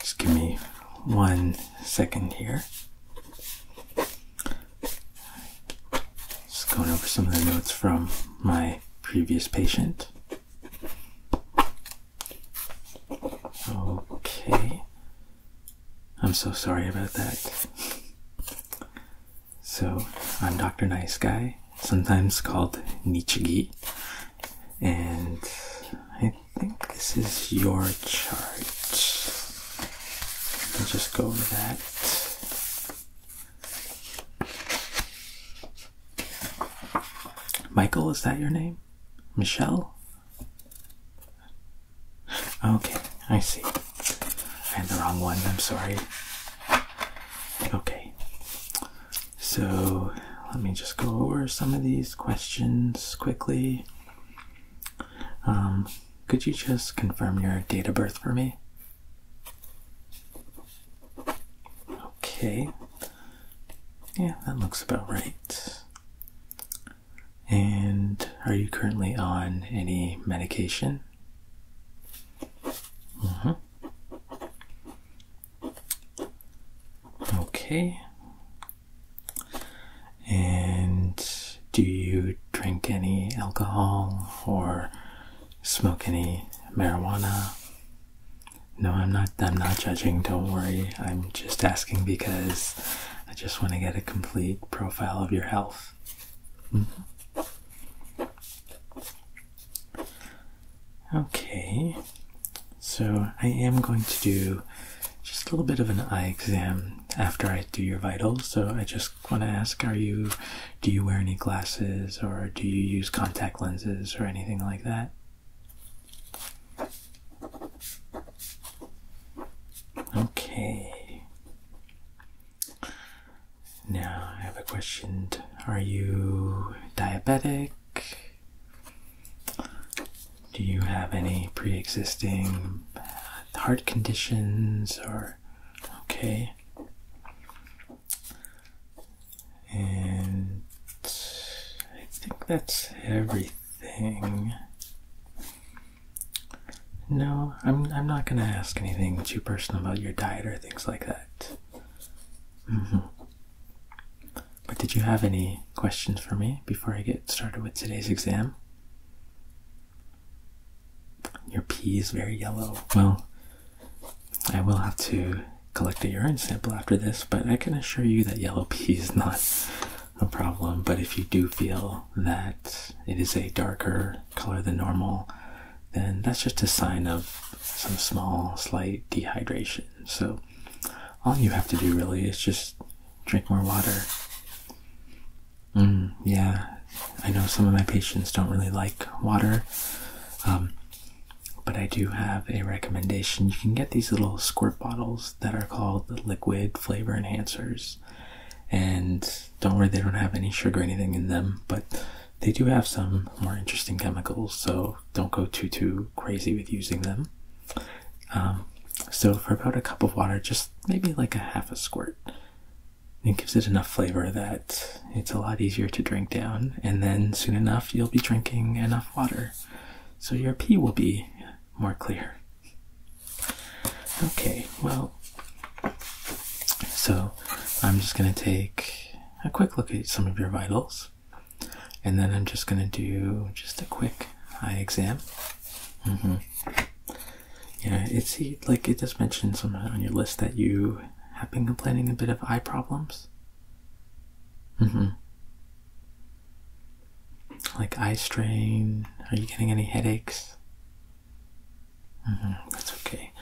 Just give me one second here. Just going over some of the notes from my previous patient. Okay. I'm so sorry about that. So, I'm Dr. Nice Guy, sometimes called Nichigi, and I think this is your chart. Let's just go over that. Michael, is that your name? Michelle? Okay, I see. I had the wrong one, I'm sorry. Okay, so let me just go over some of these questions quickly. Um, could you just confirm your date of birth for me? Okay, yeah, that looks about right. And are you currently on any medication? Mm-hmm. Okay. And do you drink any alcohol or smoke any marijuana? No, I'm not I'm not judging, don't worry. I'm just asking because I just want to get a complete profile of your health. Okay, so I am going to do just a little bit of an eye exam after I do your vitals. So I just want to ask: Are you? Do you wear any glasses, or do you use contact lenses, or anything like that? Okay. Now, I have a question. Are you diabetic? Do you have any pre existing heart conditions or. Okay. And I think that's everything. No, I'm I'm not gonna ask anything too personal about your diet or things like that. Mm-hmm. But did you have any questions for me before I get started with today's exam? Your pee is very yellow. Well, I will have to collect a urine sample after this, but I can assure you that yellow pee is not a problem. But if you do feel that it is a darker color than normal, then that's just a sign of some small, slight dehydration. So, all you have to do really is just drink more water. Mm, yeah, I know some of my patients don't really like water, um, but I do have a recommendation. You can get these little squirt bottles that are called liquid flavor enhancers. And don't worry, they don't have any sugar or anything in them, but they do have some more interesting chemicals, so don't go too too crazy with using them. Um, so for about a cup of water, just maybe like a half a squirt. It gives it enough flavor that it's a lot easier to drink down, and then soon enough you'll be drinking enough water, so your pee will be more clear. Okay, well so I'm just going to take a quick look at some of your vitals and then I'm just going to do just a quick eye exam. Mm-hmm. Yeah, it's like it does mention somewhere on your list that you have been complaining a bit of eye problems. Mm-hmm. Like eye strain. Are you getting any headaches? Mm-hmm, that's okay.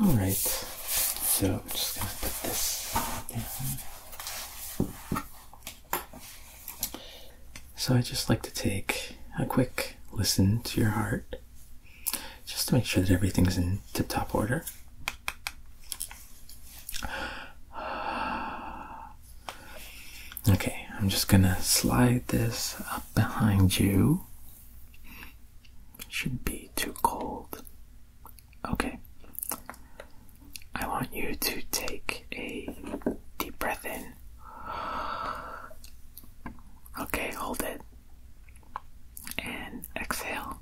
All right. So I'm just gonna put this down. So I just like to take a quick listen to your heart, just to make sure that everything's in tip-top order. Okay, I'm just gonna slide this up behind you should be too cold. Okay. I want you to take a deep breath in. Okay, hold it. And exhale.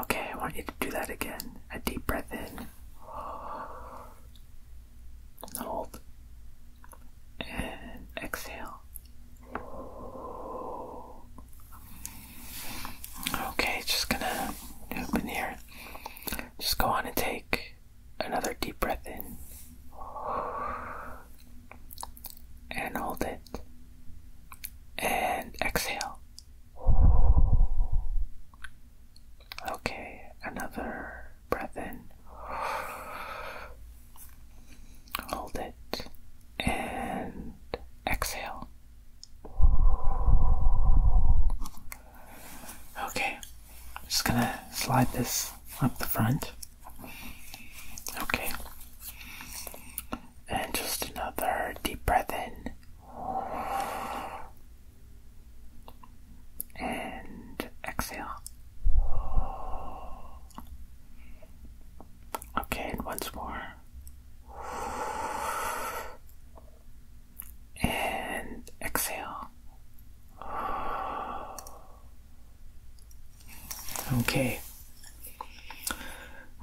Okay, I want you to do that again. A deep breath in. Hold and exhale. Okay, just gonna open here. Just go on and take another deep breath in and hold it and exhale. Okay, another breath in, hold it, and exhale. Okay, just gonna slide this up the front. Okay, and just another deep breath in and exhale. Okay, and once more. And exhale. Okay.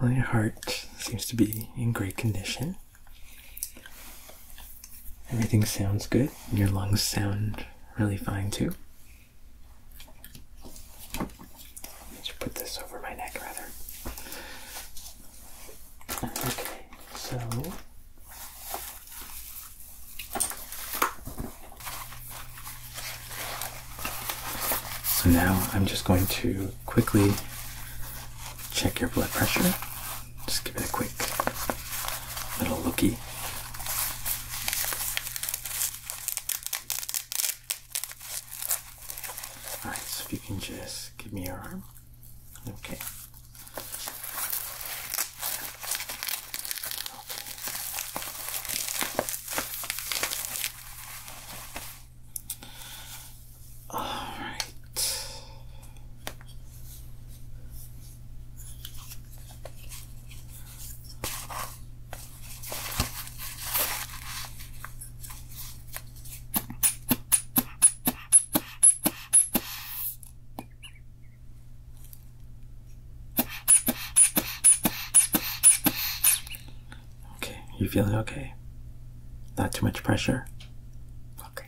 Well, your heart seems to be in great condition. Everything sounds good. Your lungs sound really fine too. I should put this over my neck rather. Okay, so so now I'm just going to quickly check your blood pressure. Just give it a quick little lookie. Alright, so if you can just give me your arm. Okay. All right. Okay, you feeling okay? Not too much pressure? Okay.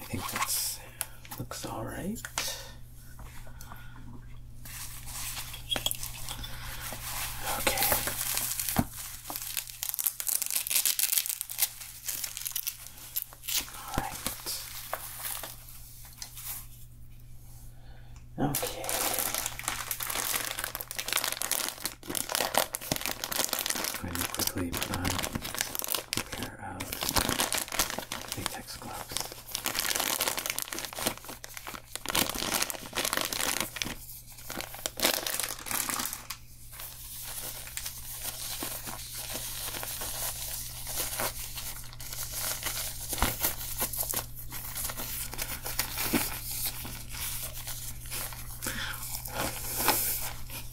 I think that looks all right. Okay. All right. Okay. i quickly put um, pair of latex gloves.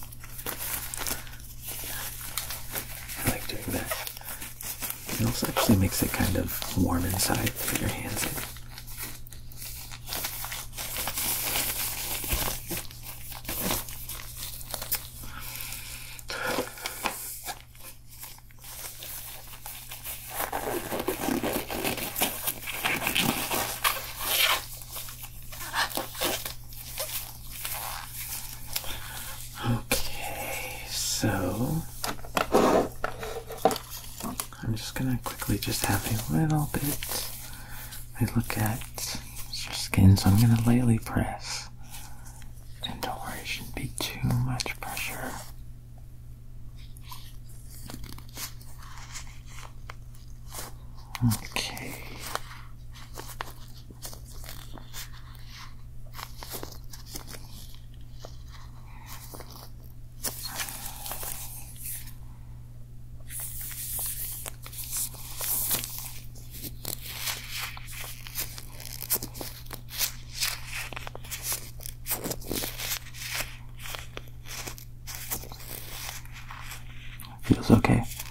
I like doing that. It also actually makes it kind of warm inside for your hands. Okay, so I'm just gonna quickly just have a little bit. I look at your skin, so I'm gonna lightly press. And don't worry, it shouldn't be too much pressure. Okay. Feels okay.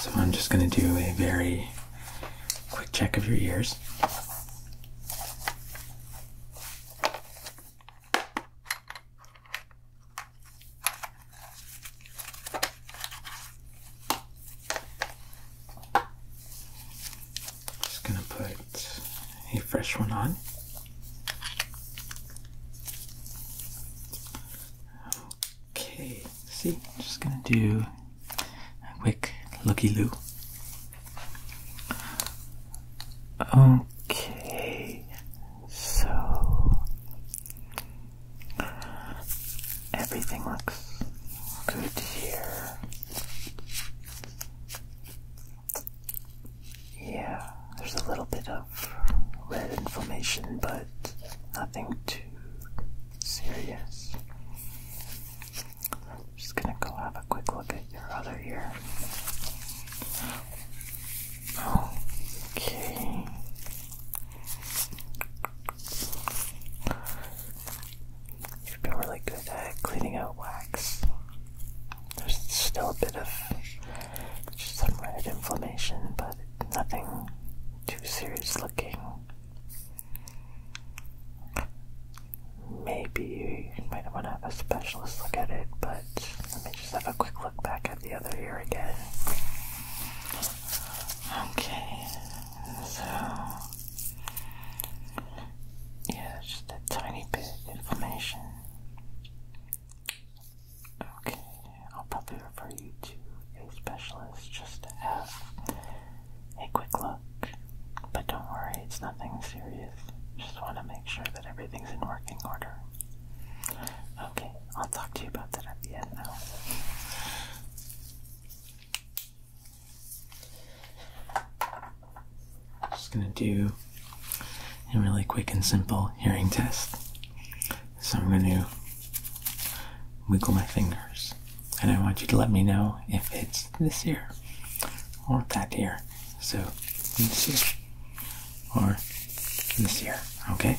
So I'm just going to do a very quick check of your ears. Just going to put a fresh one on. Okay, see, just gonna do a quick looky look. Okay, so everything looks good here yeah, there's a little bit of red inflammation, but nothing too serious. I'm just gonna go have a quick look at your other ear. Okay. You've been really good at cleaning out wax. There's still a bit of just some red inflammation, but nothing too serious looking. Maybe you might want to have a specialist look at it, but let me just have a quick look back at the other ear again. Okay, so yeah, just a tiny bit inflammation. Okay, I'll probably refer you to a specialist just to have a quick look. But don't worry, it's nothing serious. Just want to make sure that everything's in working order. Okay, I'll talk to you about that at the end now. just gonna do a really quick and simple hearing test. So I'm going to wiggle my fingers, and I want you to let me know if it's this ear or that ear. So this ear or this ear, okay?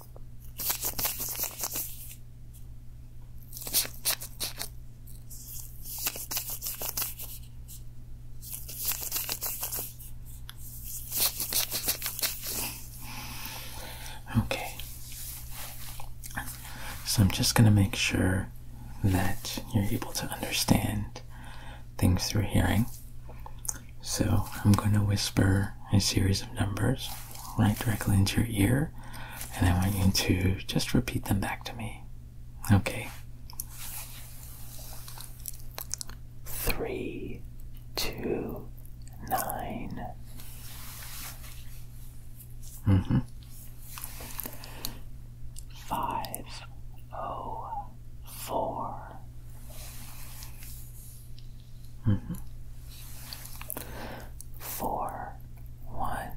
Okay. So I'm just going to make sure that you're able to understand things through hearing. So I'm going to whisper a series of numbers right directly into your ear, and I want you to just repeat them back to me. Okay. Three, two, nine. Mm-hmm. Five, oh, four. Mm -hmm. Four, one,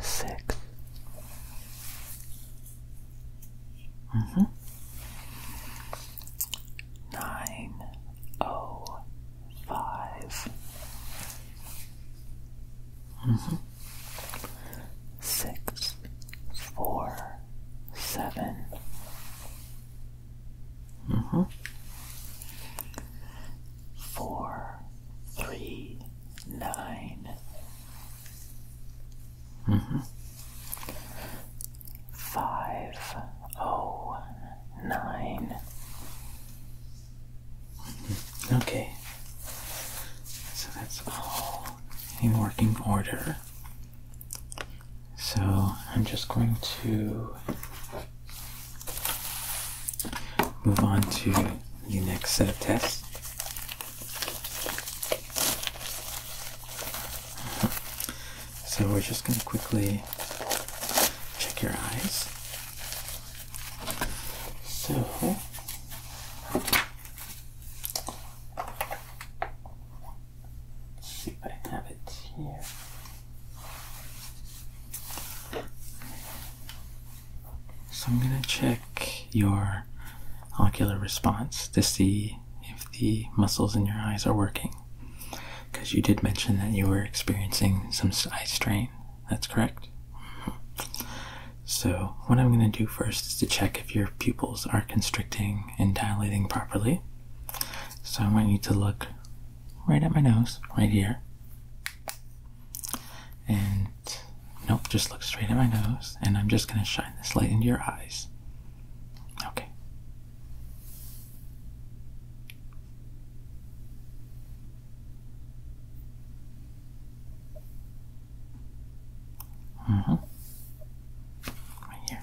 six. Mm-hmm. Nine, oh, five. Mm-hmm. Six, four, seven. Mm -hmm. Four, three, nine. Mm -hmm. Five, oh, nine. Okay. So that's all in working order. So I'm just going to Move on to the next set of tests. So we're just going to quickly check your eyes. So. see if I have it here. So I'm going to check your ocular response to see if the muscles in your eyes are working. Because you did mention that you were experiencing some eye strain. That's correct? So, what I'm going to do first is to check if your pupils are constricting and dilating properly. So, I want you to look right at my nose, right here. And nope, just look straight at my nose, and I'm just going to shine this light into your eyes. Okay. Mm -hmm. Right here.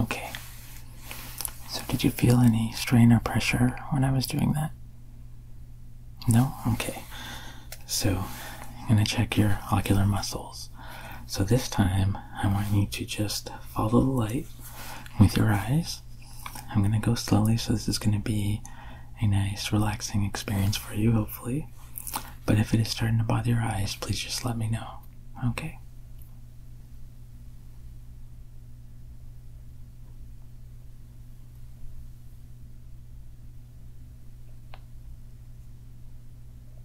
Okay. So, did you feel any strain or pressure when I was doing that? No? Okay. So, I'm going to check your ocular muscles. So this time, I want you to just follow the light with your eyes. I'm going to go slowly, so this is going to be a nice, relaxing experience for you, hopefully. But if it is starting to bother your eyes, please just let me know. Okay?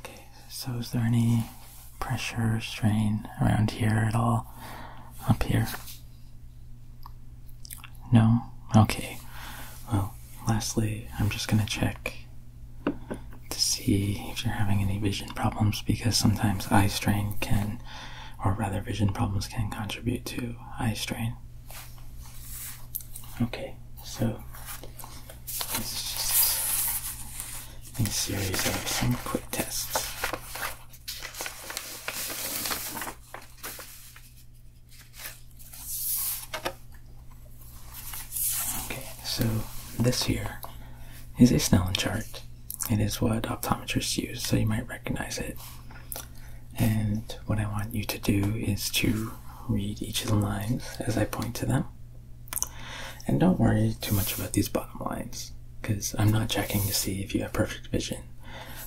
Okay, so is there any pressure, strain around here at all? Up here? No? Okay. Well, lastly, I'm just gonna check to see if you're having any vision problems because sometimes eye strain can, or rather, vision problems can contribute to eye strain. Okay, so it's just a series of some quick tests. Okay, so this here is a Snellen chart. It is what optometrists use, so you might recognize it. And what I want you to do is to read each of the lines as I point to them. And don't worry too much about these bottom lines because I'm not checking to see if you have perfect vision.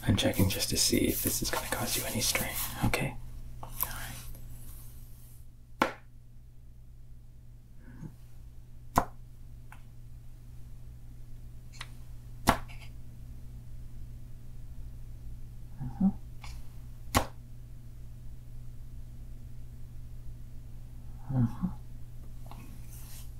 I'm checking just to see if this is going to cause you any strain. Okay? Uh -huh. Uh -huh.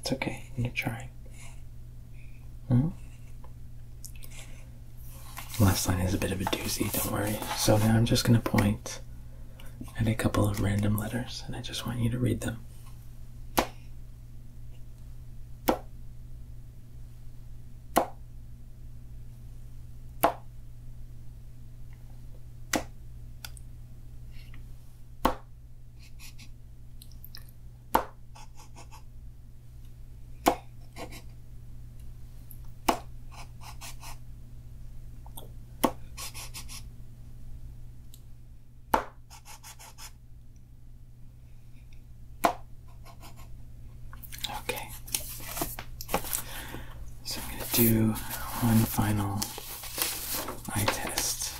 It's okay. You're trying. Hmm? Last line is a bit of a doozy, don't worry. So now I'm just going to point at a couple of random letters and I just want you to read them. Okay. So I'm going to do one final I test.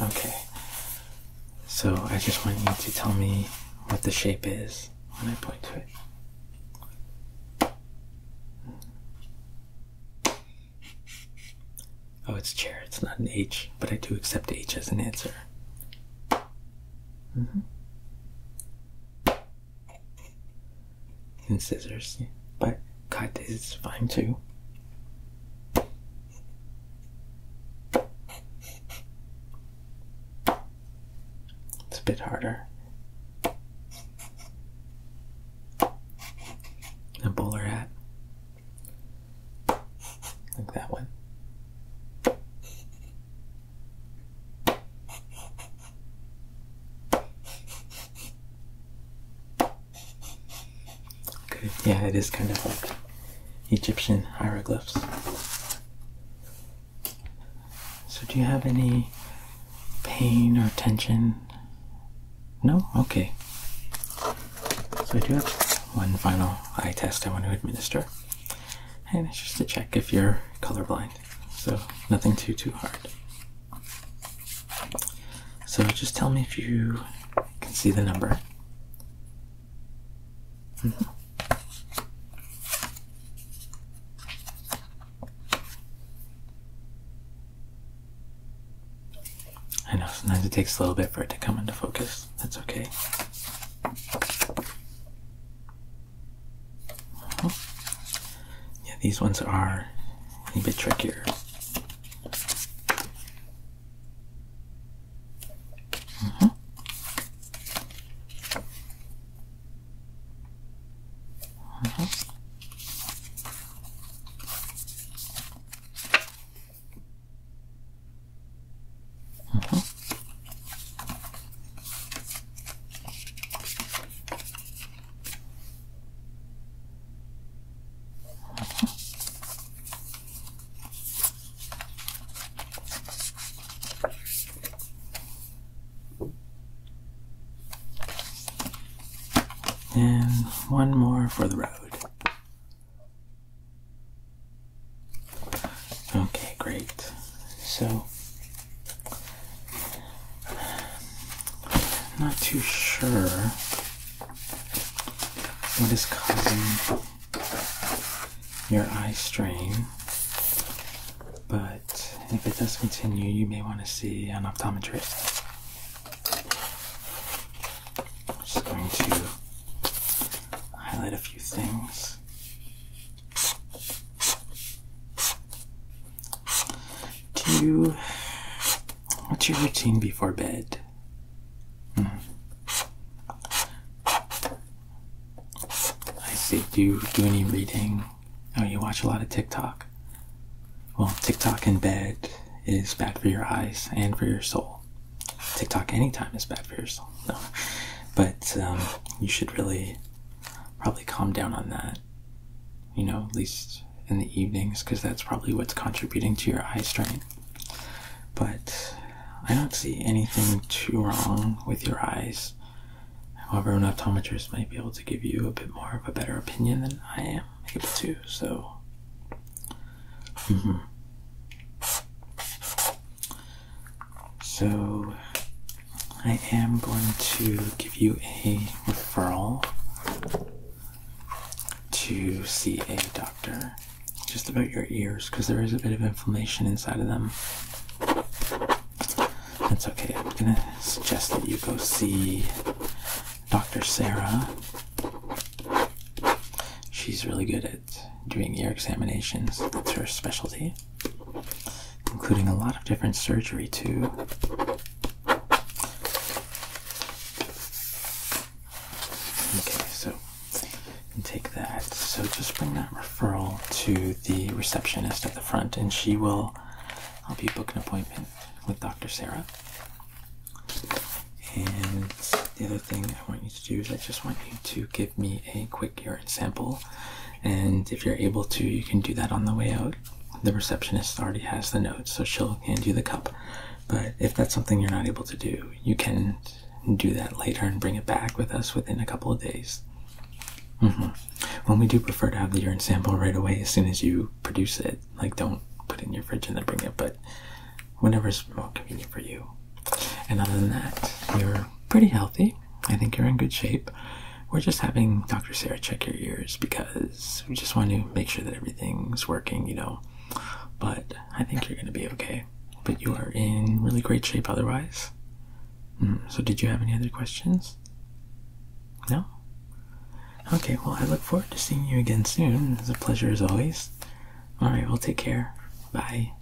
Okay, so I just want you to tell me what the shape is when I point to it. Oh, it's chair, it's not an H, but I do accept H as an answer. Mm -hmm. And scissors, but cut is fine too. It's a bit harder. A bowler hat, like that one. Good. Yeah, it is kind of like Egyptian hieroglyphs. So, do you have any pain or tension? No? Okay. So, I do have one final eye test I want to administer and it's just to check if you're colorblind. So nothing too too hard. So just tell me if you can see the number. I know sometimes it takes a little bit for it to come into focus. That's okay. Yeah, these ones are a bit trickier. And one more for the road. Okay, great. So, not too sure what is causing your eye strain, but if it does continue, you may want to see an optometrist. I'm just going to highlight a few things. Do What's your routine before bed? Hmm. I see. Do you do any reading? Oh, you watch a lot of TikTok. Well, TikTok in bed is bad for your eyes and for your soul. TikTok anytime is bad for your soul. No. But um, you should really probably calm down on that, you know, at least in the evenings, because that's probably what's contributing to your eye strain. But I don't see anything too wrong with your eyes. However, an optometrist might be able to give you a bit more of a better opinion than I am able to, so. Mm-hmm. So I am going to give you a referral to see a doctor just about your ears because there is a bit of inflammation inside of them. That's okay. I'm going to suggest that you go see Dr. Sarah. She's really good at doing ear examinations. That's her specialty, including a lot of different surgery, too. Okay, so take that. So just bring that referral to the receptionist at the front, and she will help you book an appointment with Dr. Sarah. And the other thing I want you to do is I just want you to give me a quick urine sample and if you're able to you can do that on the way out the receptionist already has the note so she'll hand you the cup but if that's something you're not able to do you can do that later and bring it back with us within a couple of days mm-hmm. When we do prefer to have the urine sample right away as soon as you produce it like don't put in your fridge and then bring it but whenever is more convenient for you and other than that, you're pretty healthy. I think you're in good shape. We're just having Dr. Sarah check your ears because we just want to make sure that everything's working, you know. But I think you're going to be okay. But you are in really great shape otherwise. Hmm, so, did you have any other questions? No? Okay, well, I look forward to seeing you again soon. It's a pleasure as always. Alright, We'll take care. Bye.